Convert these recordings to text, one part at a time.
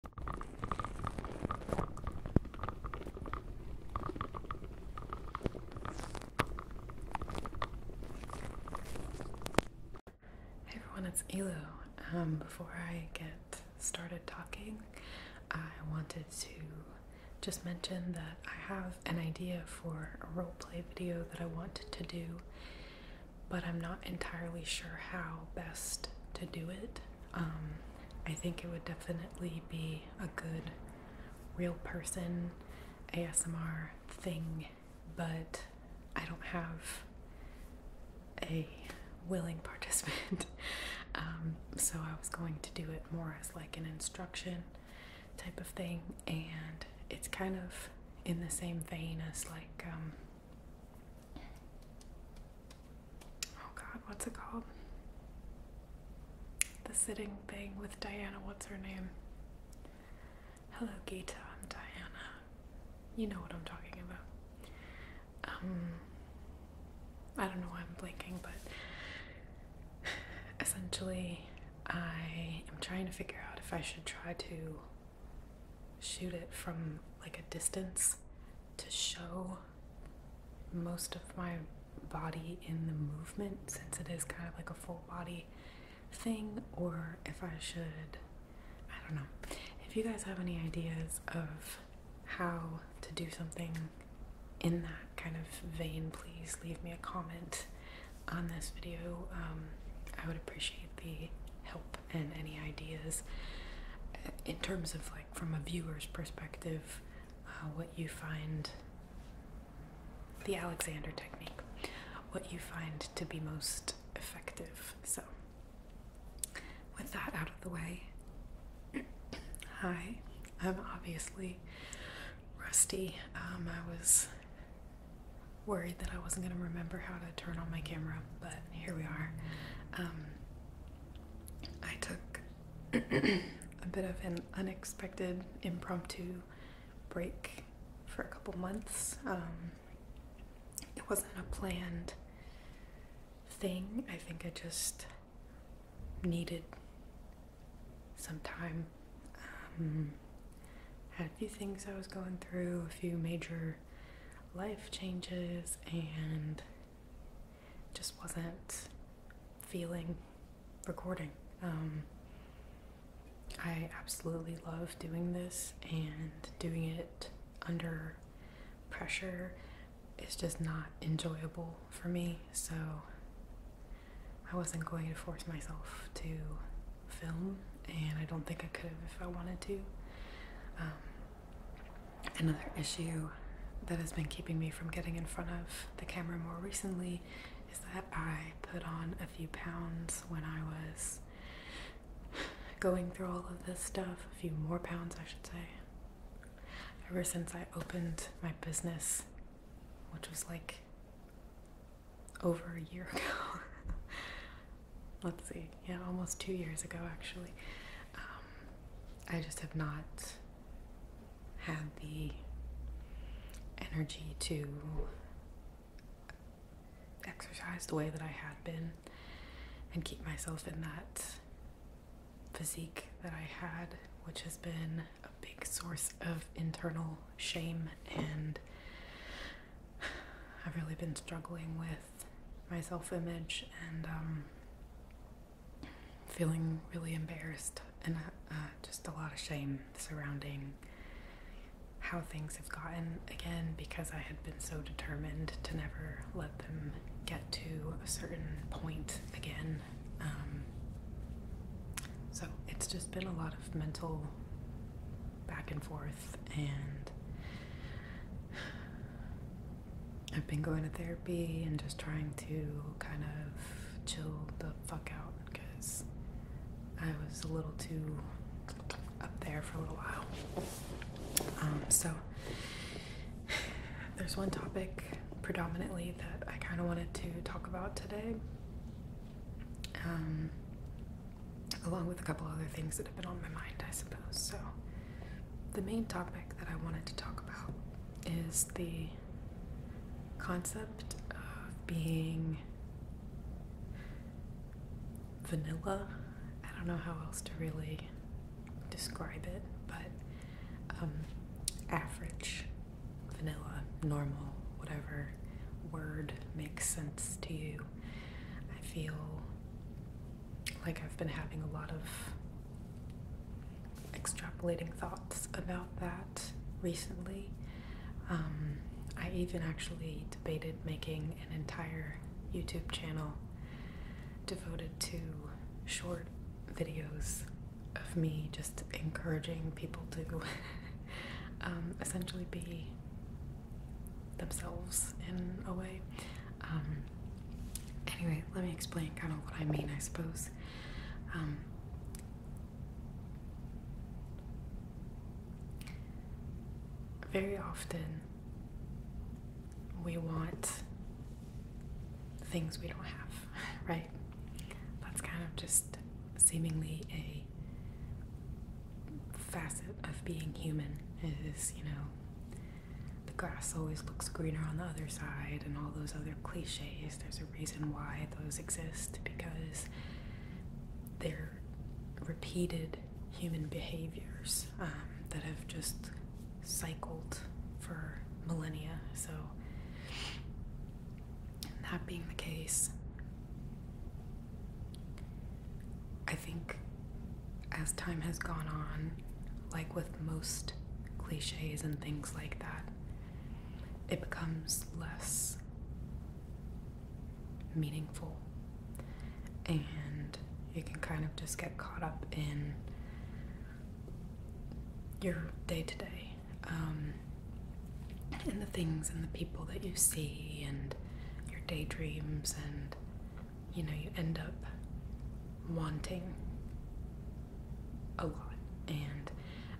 Hey everyone, it's Elu. Um, before I get started talking, I wanted to just mention that I have an idea for a roleplay video that I wanted to do, but I'm not entirely sure how best to do it. Um, I think it would definitely be a good real person ASMR thing, but I don't have a willing participant. Um, so I was going to do it more as like an instruction type of thing, and it's kind of in the same vein as like um, Oh god, what's it called? The sitting thing with Diana, what's her name? Hello, Gita, I'm Diana. You know what I'm talking about. Um, I don't know why I'm blinking, but essentially, I am trying to figure out if I should try to shoot it from like a distance to show most of my body in the movement since it is kind of like a full body thing or if I should I don't know. If you guys have any ideas of how to do something in that kind of vein, please leave me a comment on this video. Um, I would appreciate the help and any ideas uh, in terms of like from a viewer's perspective, uh, what you find the Alexander technique, what you find to be most effective. So, with that out of the way, hi, I'm obviously rusty. Um, I was worried that I wasn't going to remember how to turn on my camera, but here we are. Um, I took a bit of an unexpected impromptu break for a couple months. Um, it wasn't a planned thing. I think I just needed some time. Um, had a few things I was going through, a few major life changes, and just wasn't feeling recording. Um, I absolutely love doing this, and doing it under pressure is just not enjoyable for me, so I wasn't going to force myself to film, and I don't think I could have if I wanted to. Um, Another issue that has been keeping me from getting in front of the camera more recently is that I put on a few pounds when I was going through all of this stuff, a few more pounds, I should say. Ever since I opened my business, which was like over a year ago. Let's see yeah, almost two years ago actually. Um, I just have not had the energy to exercise the way that I had been and keep myself in that physique that I had, which has been a big source of internal shame and I've really been struggling with my self image and um, feeling really embarrassed and uh, uh, just a lot of shame surrounding how things have gotten again because I had been so determined to never let them get to a certain point again. Um, so it's just been a lot of mental back and forth and I've been going to therapy and just trying to kind of chill the fuck out because I was a little too up there for a little while. Um, so, there's one topic predominantly that I kind of wanted to talk about today, um, along with a couple other things that have been on my mind, I suppose. So, the main topic that I wanted to talk about is the concept of being vanilla. I don't know how else to really describe it, but um, average, vanilla, normal, whatever word makes sense to you. I feel like I've been having a lot of extrapolating thoughts about that recently. Um, I even actually debated making an entire YouTube channel devoted to short videos of me just encouraging people to um, essentially be themselves in a way. Um, Anyway, let me explain kind of what I mean, I suppose. Um, very often, we want things we don't have, right? That's kind of just seemingly a facet of being human is, you know, the grass always looks greener on the other side and all those other cliches. There's a reason why those exist because they're repeated human behaviors um, that have just cycled for millennia. So, that being the case, I think as time has gone on, like with most cliches and things like that, it becomes less meaningful. And you can kind of just get caught up in your day to day and the things and the people that you see and your daydreams and you know, you end up wanting a lot. And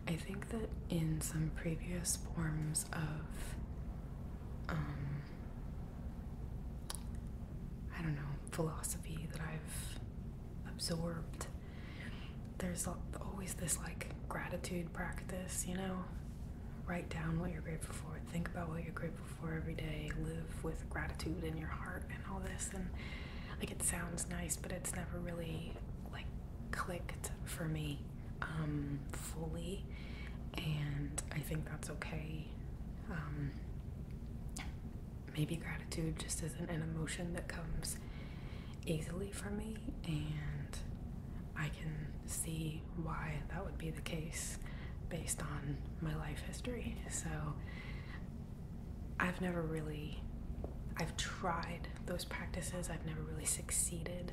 I think that in some previous forms of, um, I don't know, philosophy that I've absorbed, there's always this like gratitude practice, you know? Write down what you're grateful for, think about what you're grateful for every day, live with gratitude in your heart, and all this. And like it sounds nice, but it's never really like clicked for me um, fully. And I think that's okay. Um, maybe gratitude just isn't an emotion that comes easily for me, and I can see why that would be the case based on my life history. So I've never really, I've tried those practices, I've never really succeeded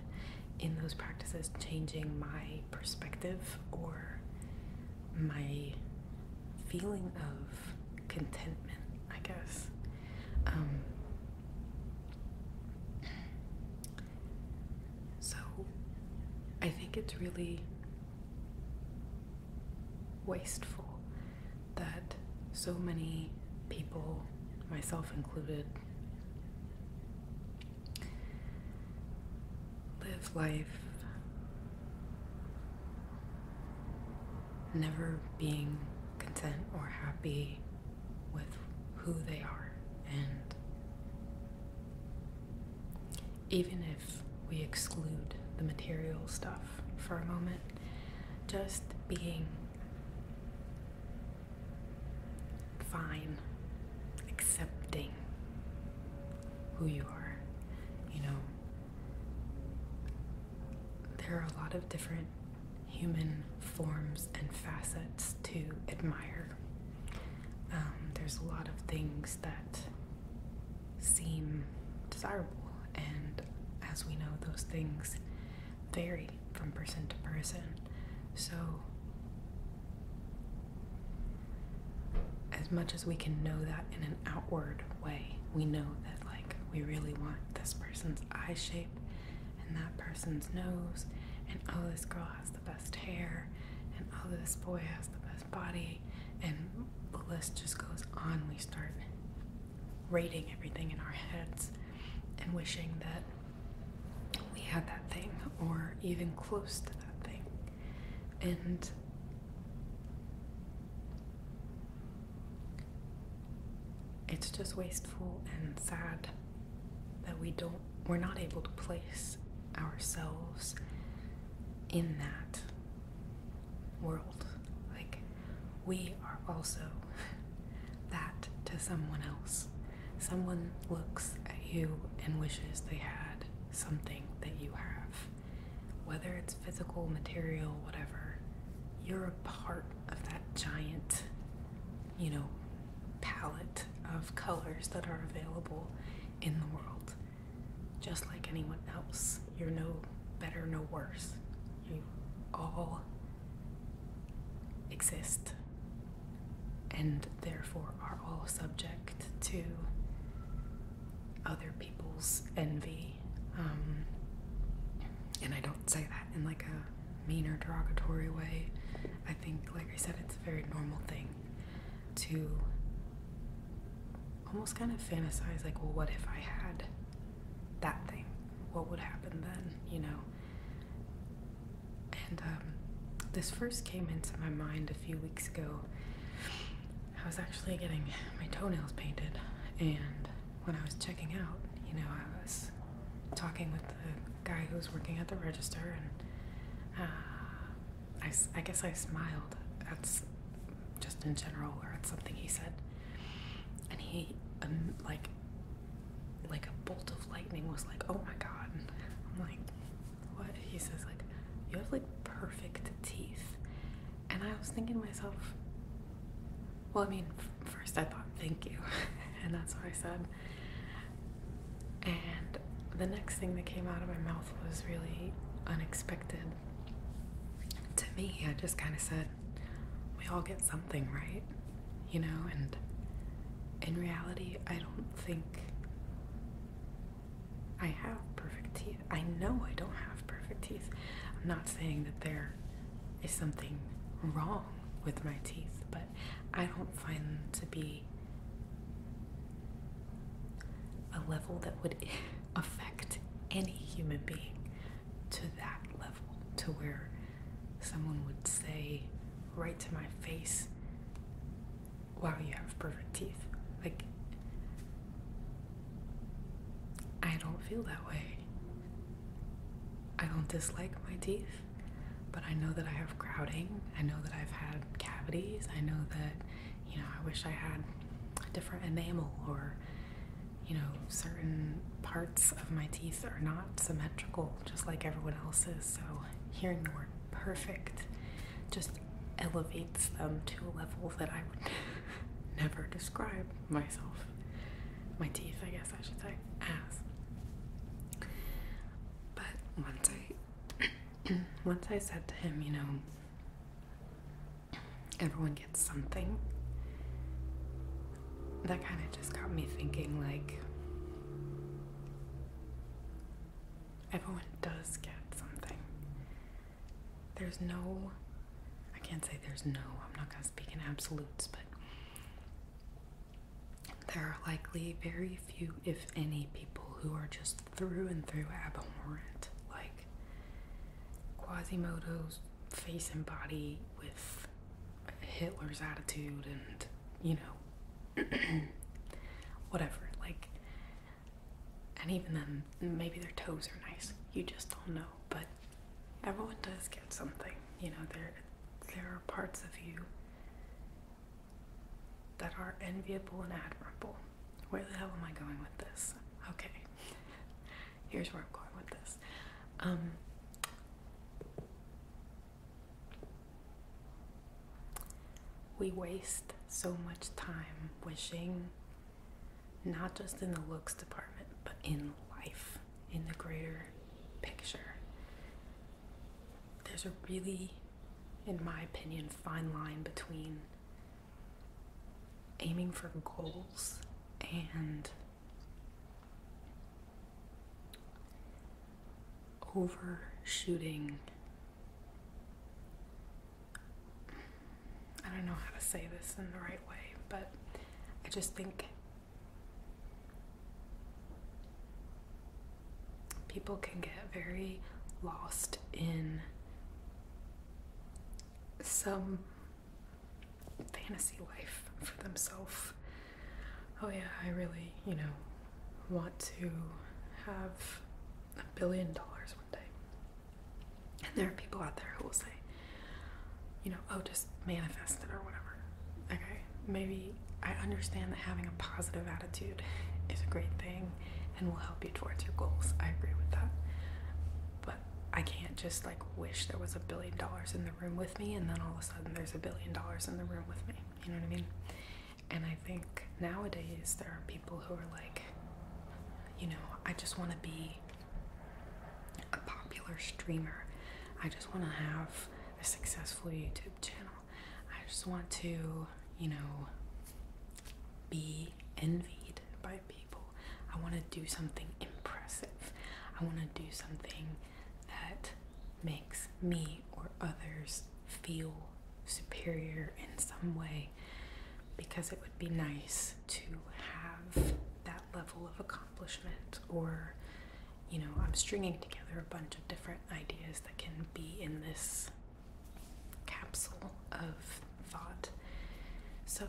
in those practices changing my perspective or my feeling of contentment, I guess. Um, so I think it's really wasteful that so many people, myself included, live life never being content or happy with who they are and even if we exclude the material stuff for a moment, just being fine, accepting who you are, you know. There are a lot of different human forms and facets to admire. Um, there's a lot of things that seem desirable. And as we know, those things vary from person to person. So, as much as we can know that in an outward way, we know that, like, we really want this person's eye shape and that person's nose, and oh, this girl has the best hair, and oh, this boy has the best body, and the list just goes on. We start rating everything in our heads and wishing that we had that thing or even close to that thing. And it's just wasteful and sad that we don't we're not able to place ourselves in that world. Like, we are also that to someone else. Someone looks at you and wishes they had something that you have. Whether it's physical, material, whatever, you're a part of that giant, you know, palette of colors that are available in the world just like anyone else. You're no better, no worse. You all exist and therefore are all subject to other people's envy. Um, and I don't say that in like a mean or derogatory way. I think, like I said, it's a very normal thing to almost kind of fantasize like, well, what if I had that thing? What would happen then, you know? And um, this first came into my mind a few weeks ago. I was actually getting my toenails painted, and when I was checking out, you know, I was talking with the guy who was working at the register, and uh, I, I guess I smiled. That's just in general, or it's something he said. And he, um, like, like a bolt of lightning was like, oh my god. I'm like, what? He says, like, you have like perfect teeth. And I was thinking to myself, well, I mean, first I thought, thank you. and that's what I said. And the next thing that came out of my mouth was really unexpected to me. I just kind of said, We all get something, right? You know, and in reality, I don't think I have perfect teeth. I know I don't have perfect teeth. I'm not saying that there is something wrong with my teeth, but I don't find them to be a level that would affect any human being to that level, to where someone would say right to my face, Wow, you have perfect teeth. Like, I don't feel that way. I don't dislike my teeth, but I know that I have crowding. I know that I've had cavities. I know that you know, I wish I had a different enamel or, you know, certain parts of my teeth are not symmetrical just like everyone else's. So hearing the word perfect just elevates them to a level that I would never describe myself, my teeth, I guess I should say, as. But once I, once I said to him, you know, everyone gets something. That kind of just got me thinking like, everyone does get something. There's no, I can't say there's no, I'm not going to speak in absolutes, but there are likely very few, if any, people who are just through and through abhorrent. Like Quasimodo's face and body with Hitler's attitude and, you know, whatever. Like, and even then, maybe their toes are nice. You just don't know. But everyone does get something. You know, there, there are parts of you that are enviable and admirable where the hell am I going with this? Okay, here's where I'm going with this. Um, we waste so much time wishing, not just in the looks department, but in life, in the greater picture. There's a really, in my opinion, fine line between aiming for goals and overshooting. I don't know how to say this in the right way, but I just think people can get very lost in some fantasy life for themselves. Oh, yeah, I really, you know, want to have a billion dollars one day. And there are people out there who will say, you know, oh, just manifest it or whatever. Okay, maybe I understand that having a positive attitude is a great thing and will help you towards your goals. I agree with that. But I can't just like wish there was a billion dollars in the room with me and then all of a sudden there's a billion dollars in the room with me. You know what I mean? And I think nowadays there are people who are like, you know, I just want to be a popular streamer. I just want to have a successful YouTube channel. I just want to, you know, be envied by people. I want to do something impressive. I want to do something that makes me or others feel superior in some way because it would be nice to have that level of accomplishment or you know i'm stringing together a bunch of different ideas that can be in this capsule of thought. So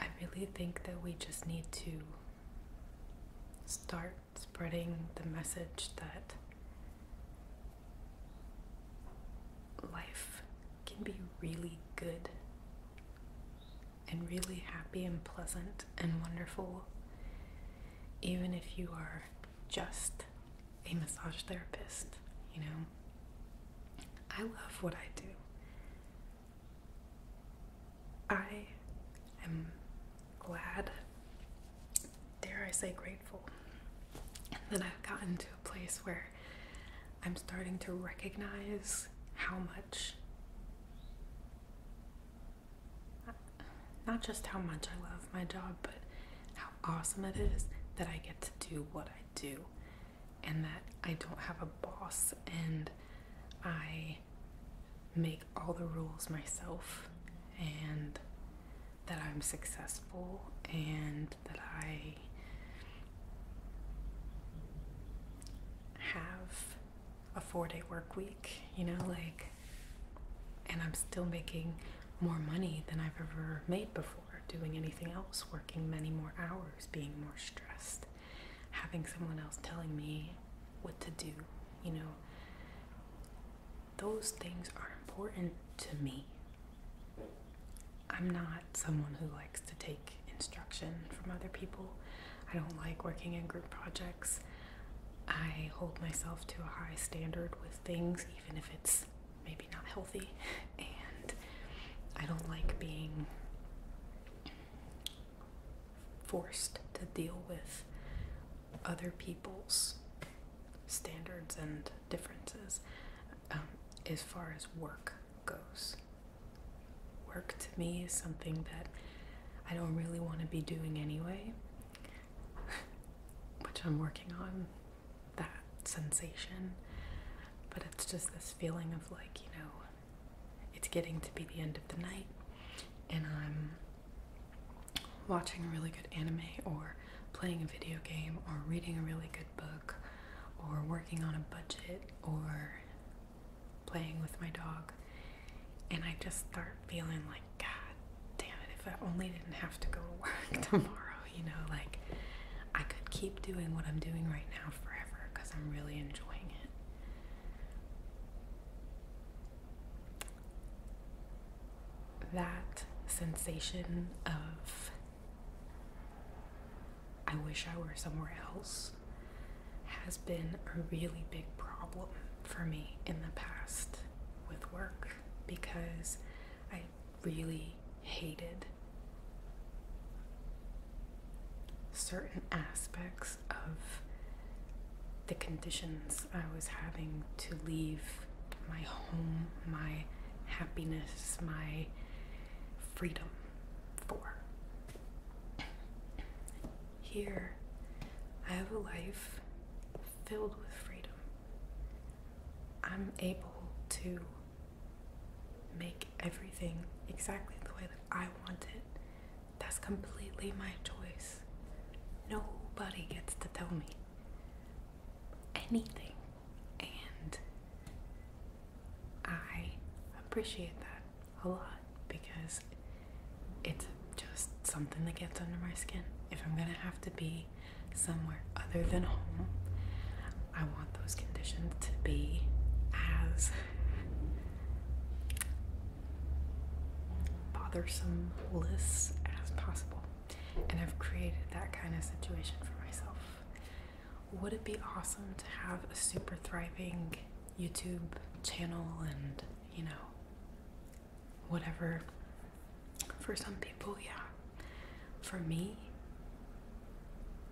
I really think that we just need to start spreading the message that life can be really good and really happy and pleasant and wonderful, even if you are just a massage therapist, you know. I love what I do. I am glad, dare I say, grateful that I've gotten to a place where I'm starting to recognize how much not just how much I love my job, but how awesome it is that I get to do what I do and that I don't have a boss and I make all the rules myself and that I'm successful and that I have a four day work week, you know, like, and I'm still making more money than I've ever made before doing anything else, working many more hours, being more stressed, having someone else telling me what to do, you know. Those things are important to me. I'm not someone who likes to take instruction from other people. I don't like working in group projects. I hold myself to a high standard with things, even if it's maybe not healthy, and I don't like being forced to deal with other people's standards and differences um, as far as work goes. Work to me is something that I don't really want to be doing anyway, which I'm working on that sensation, but it's just this feeling of like, you know, it's getting to be the end of the night and I'm watching a really good anime or playing a video game or reading a really good book or working on a budget or playing with my dog and I just start feeling like, God damn it, if I only didn't have to go to work tomorrow, you know, like I could keep doing what I'm doing right now forever because I'm really enjoying it. That sensation of, I wish I were somewhere else, has been a really big problem for me in the past with work because I really hated certain aspects of the conditions I was having to leave my home, my happiness, my freedom for. Here, I have a life filled with freedom. I'm able to make everything exactly the way that I want it. That's completely my choice. Nobody gets to tell me anything. And I appreciate that a lot because it's just something that gets under my skin. If I'm gonna have to be somewhere other than home, I want those conditions to be as bothersome as possible. And I've created that kind of situation for myself. Would it be awesome to have a super thriving YouTube channel and, you know, whatever. For some people, yeah. For me,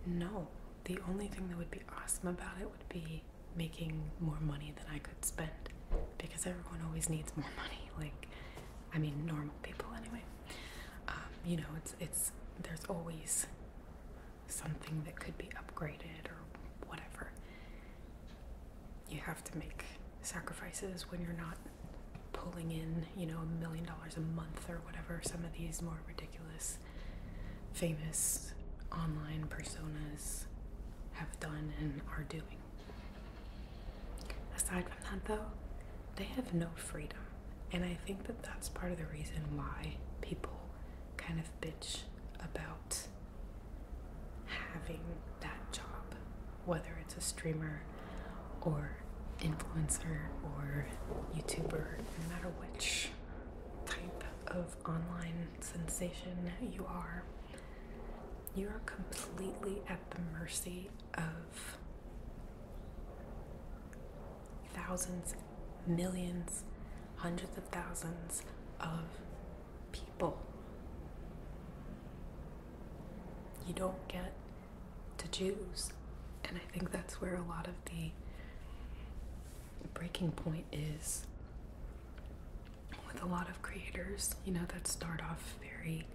no. The only thing that would be awesome about it would be making more money than I could spend because everyone always needs more money. Like, I mean, normal people anyway. Um, you know, it's it's there's always something that could be upgraded or whatever you have to make sacrifices when you're not pulling in, you know, a million dollars a month or whatever some of these more ridiculous famous online personas have done and are doing. Aside from that, though, they have no freedom. And I think that that's part of the reason why people kind of bitch about having that job, whether it's a streamer or influencer or YouTuber, no matter which type of online sensation you are, you are completely at the mercy of thousands, millions, hundreds of thousands of people people. You don't get to choose. And I think that's where a lot of the breaking point is with a lot of creators, you know, that start off very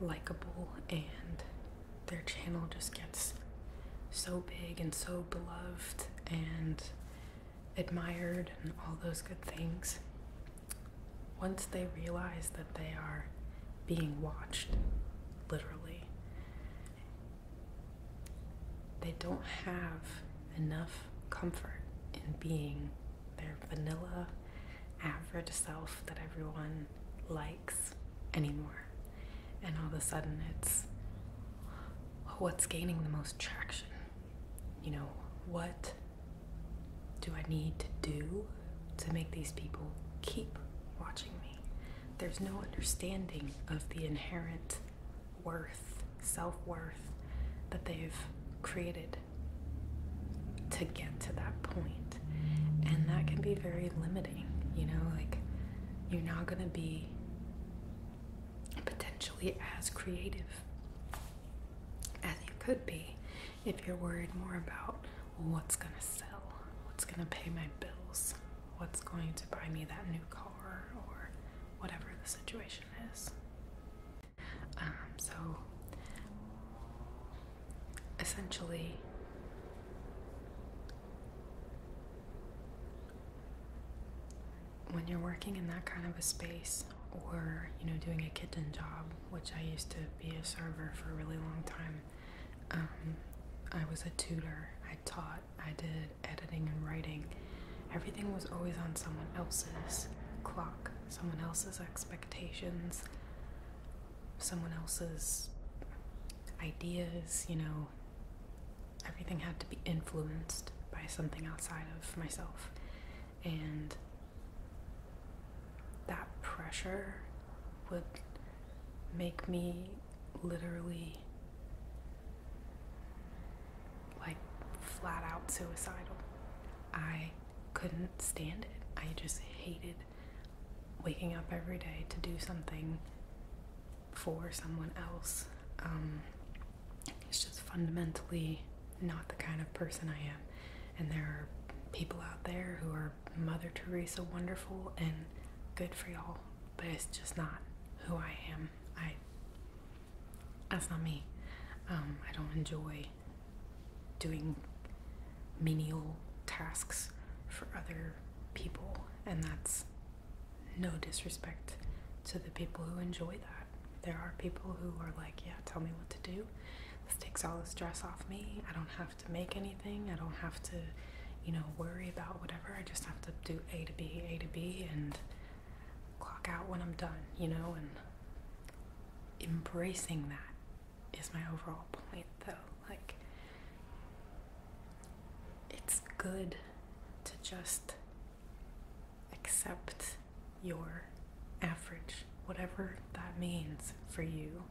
likable and their channel just gets so big and so beloved and admired and all those good things, once they realize that they are being watched, literally, they don't have enough comfort in being their vanilla, average self that everyone likes anymore. And all of a sudden, it's what's gaining the most traction. You know, what do I need to do to make these people keep watching me? There's no understanding of the inherent worth, self worth that they've created to get to that And that can be very limiting, you know, like you're not going to be potentially as creative as you could be if you're worried more about what's going to sell, what's going to pay my bills, what's going to buy me that new car, or whatever the situation is. Um, so, essentially, when you're working in that kind of a space or you know doing a kitchen job which i used to be a server for a really long time um, i was a tutor i taught i did editing and writing everything was always on someone else's clock someone else's expectations someone else's ideas you know everything had to be influenced by something outside of myself and that pressure would make me literally like flat out suicidal. I couldn't stand it. I just hated waking up every day to do something for someone else. Um, is just fundamentally not the kind of person I am. And there are people out there who are Mother Teresa wonderful and good for y'all, but it's just not who I am. I that's not me. Um, I don't enjoy doing menial tasks for other people, and that's no disrespect to the people who enjoy that. There are people who are like, yeah, tell me what to do. This takes all the stress off me. I don't have to make anything. I don't have to, you know, worry about whatever. I just have to do A to B, A to B, and clock out when I'm done, you know, and embracing that is my overall point though. Like, it's good to just accept your average, whatever that means for you.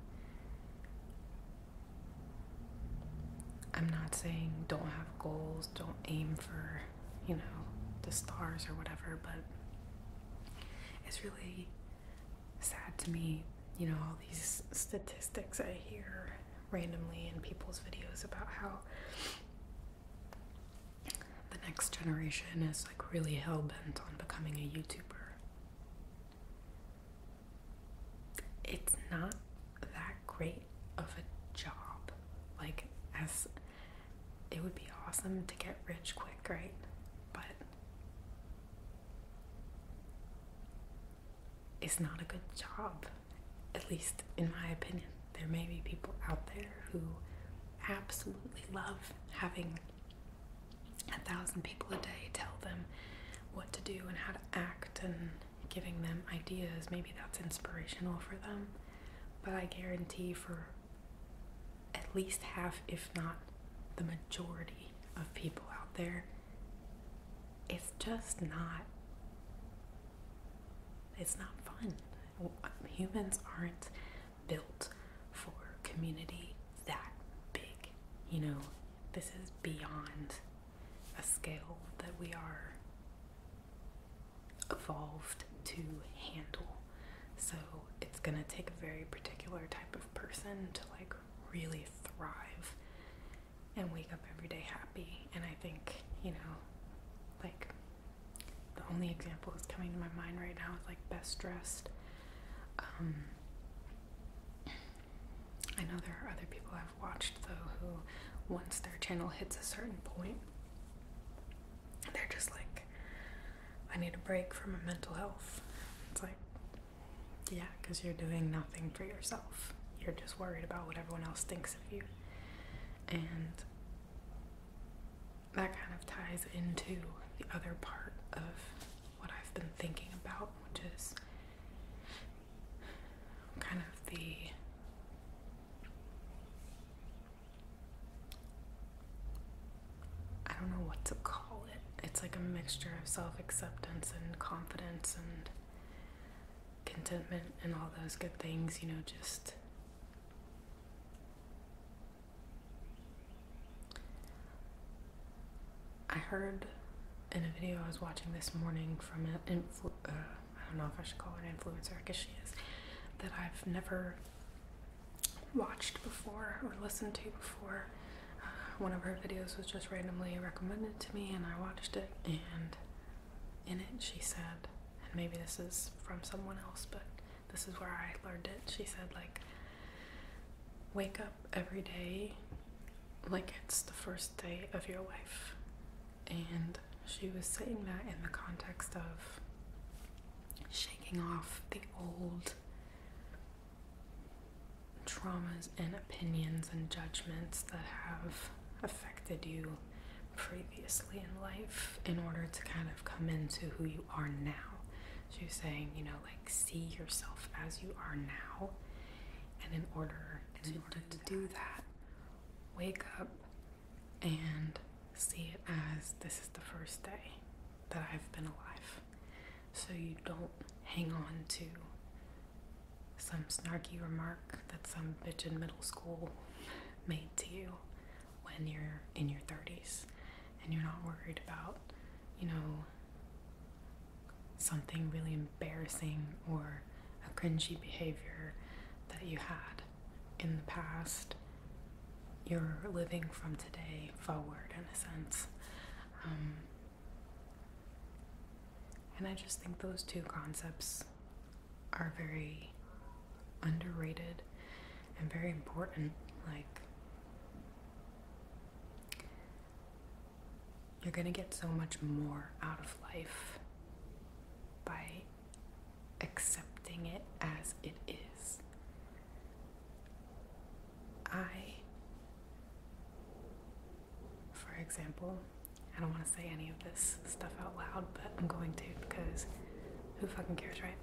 I'm not saying don't have goals, don't aim for, you know, the stars or whatever, but it's really sad to me, you know, all these statistics I hear randomly in people's videos about how the next generation is like really hell bent on becoming a YouTuber. It's not that great of a job. Like, as it would be awesome to get rich quick, right? But it's not a good job, at least in my opinion there may be people out there who absolutely love having a thousand people a day tell them what to do and how to act and giving them ideas. Maybe that's inspirational for them, but I guarantee for at least half, if not the majority, of people out there, it's just not. It's not fun. Humans aren't built for community that big. You know, this is beyond a scale that we are evolved to handle. So it's going to take a very particular type of person to like really thrive and wake up every day happy. And I think, you know, like the only example that's coming to my mind right now is like best dressed. Um, I know there are other people I've watched though who, once their channel hits a certain point, they're just like, I need a break from my mental health. It's like, yeah, because you're doing nothing for yourself. You're just worried about what everyone else thinks of you. And that kind of ties into the other part of what I've been thinking about, which is kind of the I don't know what to call it. It's like a mixture of self acceptance and confidence and contentment and all those good things, you know, just I heard in a video I was watching this morning from an influ uh, I don't know if I should call an influencer, I guess she is, that I've never watched before or listened to before. Uh, one of her videos was just randomly recommended to me and I watched it and in it she said, and maybe this is from someone else, but this is where I learned it. She said, like, wake up every day like it's the first day of your life. And she was saying that in the context of shaking off the old traumas and opinions and judgments that have affected you previously in life in order to kind of come into who you are now. She was saying, you know, like see yourself as you are now. And in order, in order to do that, wake up and see it as this is the first day that I've been alive. So you don't hang on to some snarky remark that some bitch in middle school made to you when you're in your 30s and you're not worried about, you know, something really embarrassing or a cringy behavior that you had in the past. You're living from today forward, in a sense. Um, and I just think those two concepts are very underrated and very important. Like, you're gonna get so much more out of life by accepting it as it is. I, for example, I don't want to say any of this stuff out loud, but I'm going to because who fucking cares, right?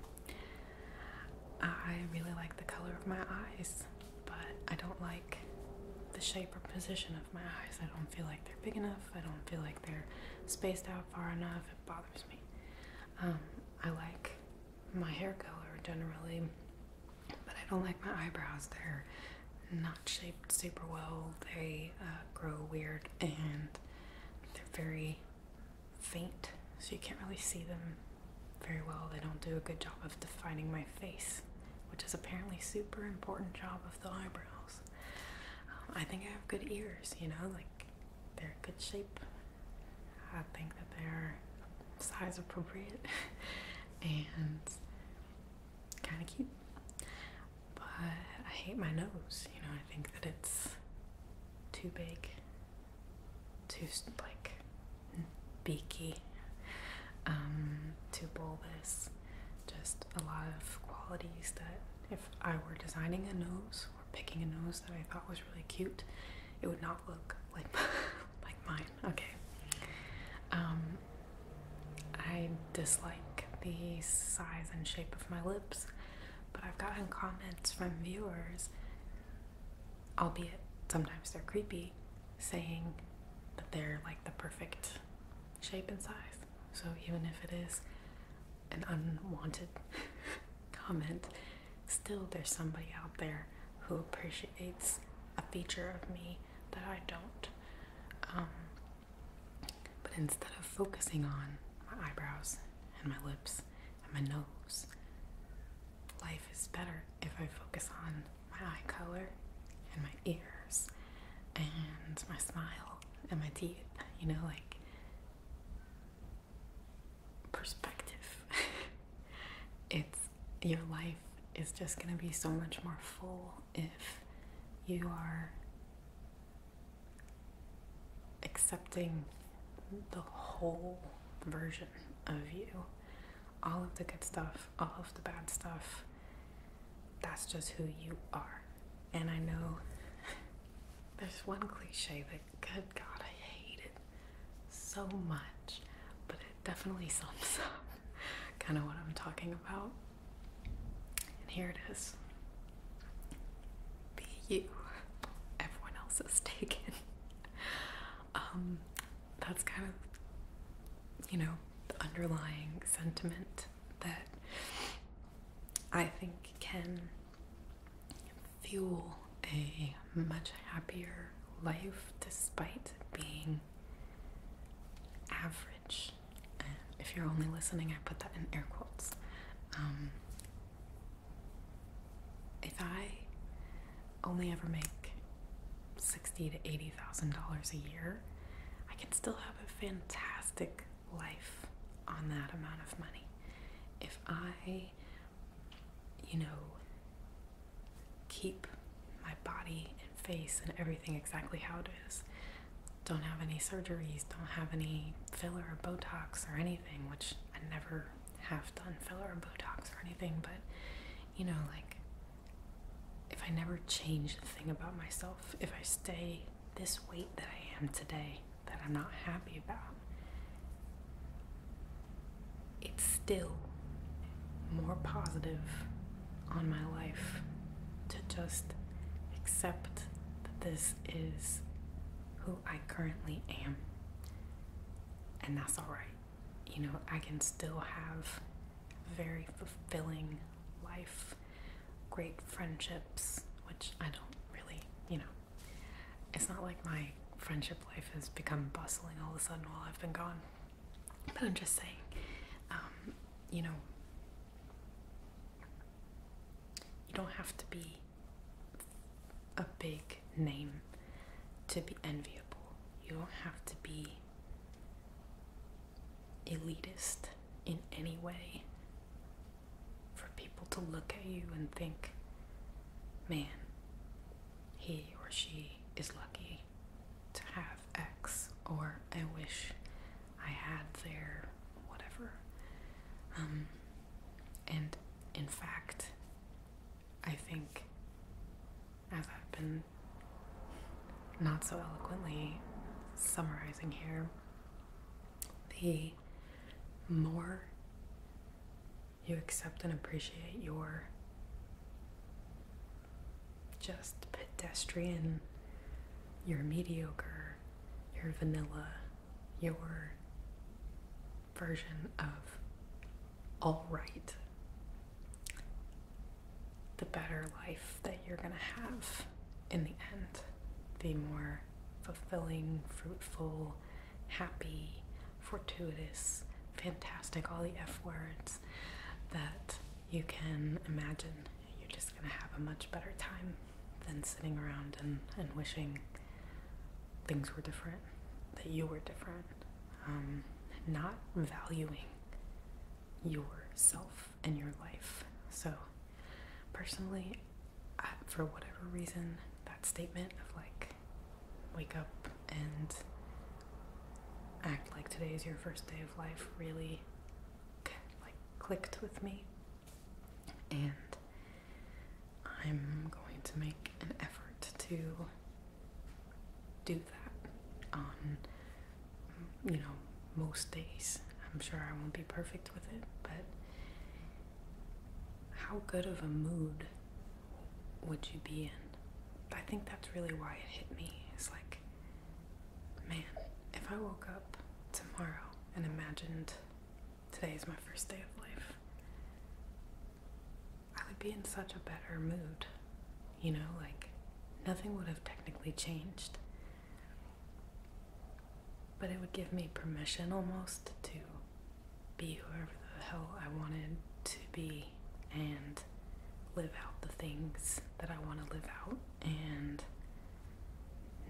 I really like the color of my eyes, but I don't like the shape or position of my eyes. I don't feel like they're big enough. I don't feel like they're spaced out far enough. It bothers me. Um, I like my hair color generally, but I don't like my eyebrows. They're not shaped super well. They uh, grow weird and they're very faint, so you can't really see them very well. They don't do a good job of defining my face, which is apparently super important job of the eyebrows. Um, I think I have good ears, you know, like they're good shape. I think that they're size appropriate and kind of cute. But I hate my nose, you know, I think that it's too big, too like beaky, um, too bulbous. Just a lot of qualities that, if I were designing a nose or picking a nose that I thought was really cute, it would not look like like mine. Okay. Um, I dislike the size and shape of my lips. But I've gotten comments from viewers, albeit sometimes they're creepy, saying that they're like the perfect shape and size. So even if it is an unwanted comment, still there's somebody out there who appreciates a feature of me that I don't. Um, but instead of focusing on my eyebrows and my lips my nose. Life is better if I focus on my eye color and my ears and my smile and my teeth, you know, like perspective. it's your life is just going to be so much more full if you are accepting the whole version of you all of the good stuff, all of the bad stuff. That's just who you are. And I know there's one cliche that, good God, I hate it so much, but it definitely sums up kind of what I'm talking about. And here it is be you. Everyone else is taken. Um, that's kind of, you know, the underlying sentiment that I think can fuel a much happier life despite being average. And if you're only listening, I put that in air quotes. Um, if I only ever make sixty to eighty thousand dollars a year, I can still have a fantastic life on that amount of money. If I, you know, keep my body and face and everything exactly how it is, don't have any surgeries, don't have any filler or Botox or anything which I never have done filler or Botox or anything, but you know, like if I never change a thing about myself, if I stay this weight that I am today, that I'm not happy about, it's still more positive on my life to just accept that this is who. I currently am. And that's all right. You know, I can still have very fulfilling life, great friendships, which I don't really, you know, it's not like my friendship life has become bustling all of a sudden while I've been gone. But I'm just saying, um, you know, you don't have to be a big name to be enviable. You don't have to be elitist in any way for people to look at you and think, man, he or she is lucky to have X, or I wish I had their whatever. Um, and in fact, I think, as I've been not so eloquently summarizing here, the more you accept and appreciate your just pedestrian, your mediocre, your vanilla, your version of all right, the better life that you're going to have in the end, the more fulfilling, fruitful, happy, fortuitous, fantastic, all the F words that you can imagine. You're just going to have a much better time than sitting around and, and wishing things were different, that you were different, um, not valuing yourself and your life. So, personally, for whatever reason, that statement of like, wake up and act like today is your first day of life really like clicked with me and I'm going to make an effort to do that on, you know, most days. I'm sure I won't be perfect with it, but how good of a mood would you be in? I think that's really why it hit me. It's like, man, if I woke up tomorrow and imagined today is my first day of life, I would be in such a better mood. You know, like nothing would have technically changed. But it would give me permission almost to be whoever the hell I wanted to be and live out the things that I want to live out and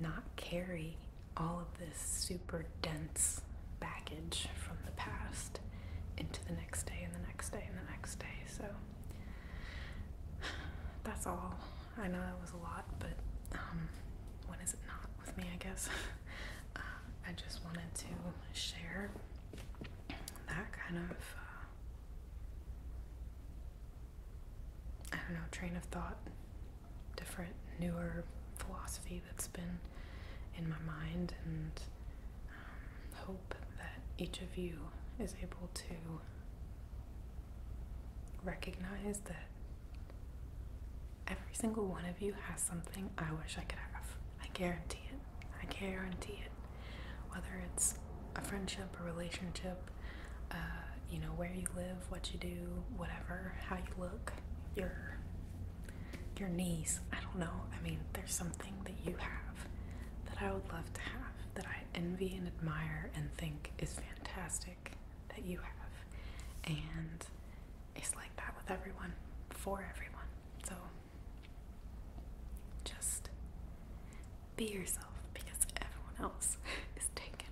not carry all of this super dense baggage from the past into the next day and the next day and the next day. So that's all. I know that was a lot, but um, when is it not with me, I guess? Uh, I just wanted to share that kind of, uh, I don't know, train of thought different newer philosophy that's been in my mind and um, hope that each of you is able to recognize that every single one of you has something I wish I could have. I guarantee it. I guarantee it. Whether it's a friendship, a relationship, you know, where you live, what you do, whatever, how you look, your your knees. I don't know. I mean, there's something that you have that I would love to have, that I envy and admire and think is fantastic that you have. And it's like that with everyone, for everyone. So just be yourself because everyone else is taken.